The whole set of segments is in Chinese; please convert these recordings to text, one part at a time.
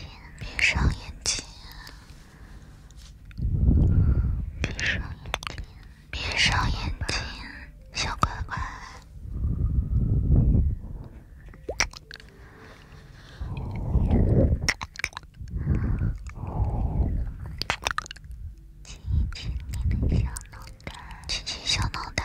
闭上眼睛，闭上眼睛，闭上眼睛，闭上眼睛，小乖乖。亲亲你的小脑袋，亲亲小脑袋。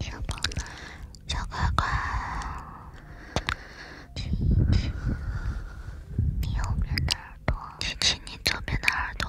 小宝，小乖乖，亲一亲你右边的耳朵，亲亲你左边的耳朵。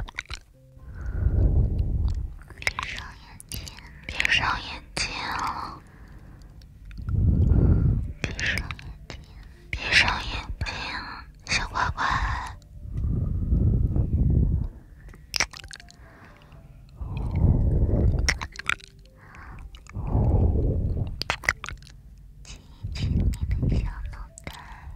闭上眼睛，闭上眼睛了，闭上眼睛，闭上眼睛，小乖乖，亲一亲你的小脑袋。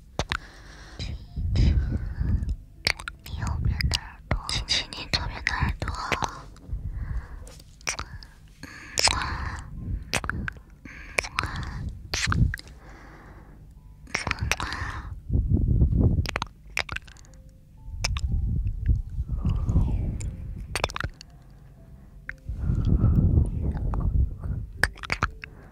亲亲你右边的耳朵，亲亲你左边的耳朵。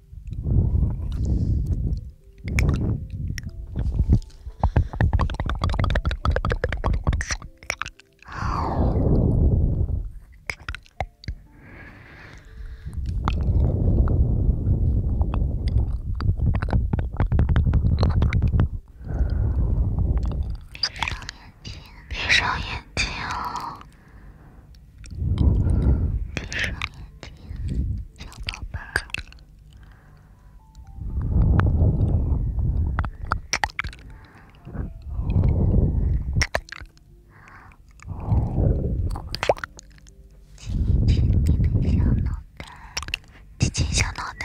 闭眼睛哦，闭上眼睛，小宝贝儿。亲一亲你的小脑袋，亲亲小脑袋。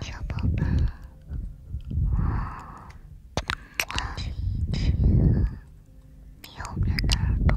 小宝宝，亲亲，你右边的耳朵。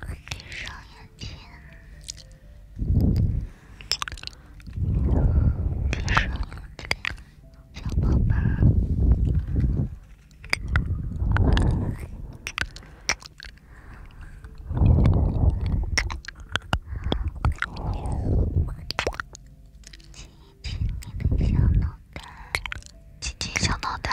闭上眼睛，闭上眼睛，小宝宝。亲亲你的小脑袋，亲亲小脑袋。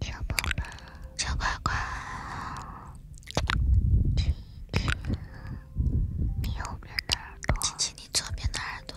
小宝贝，小乖乖，亲亲你右边的耳朵，亲亲你左边的耳朵。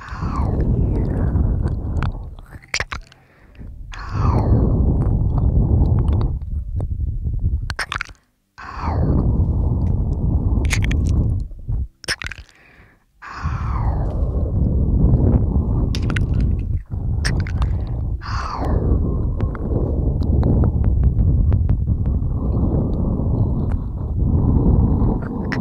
Ow. Ow. Ow. Ow. Ow.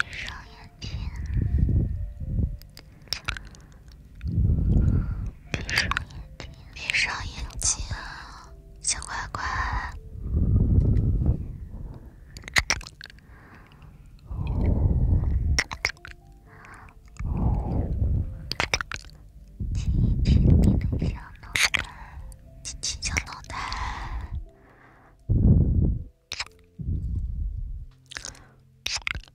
闭上眼睛。闭上眼睛，闭上眼睛，小乖乖，亲一亲你的小脑袋，亲亲小脑袋。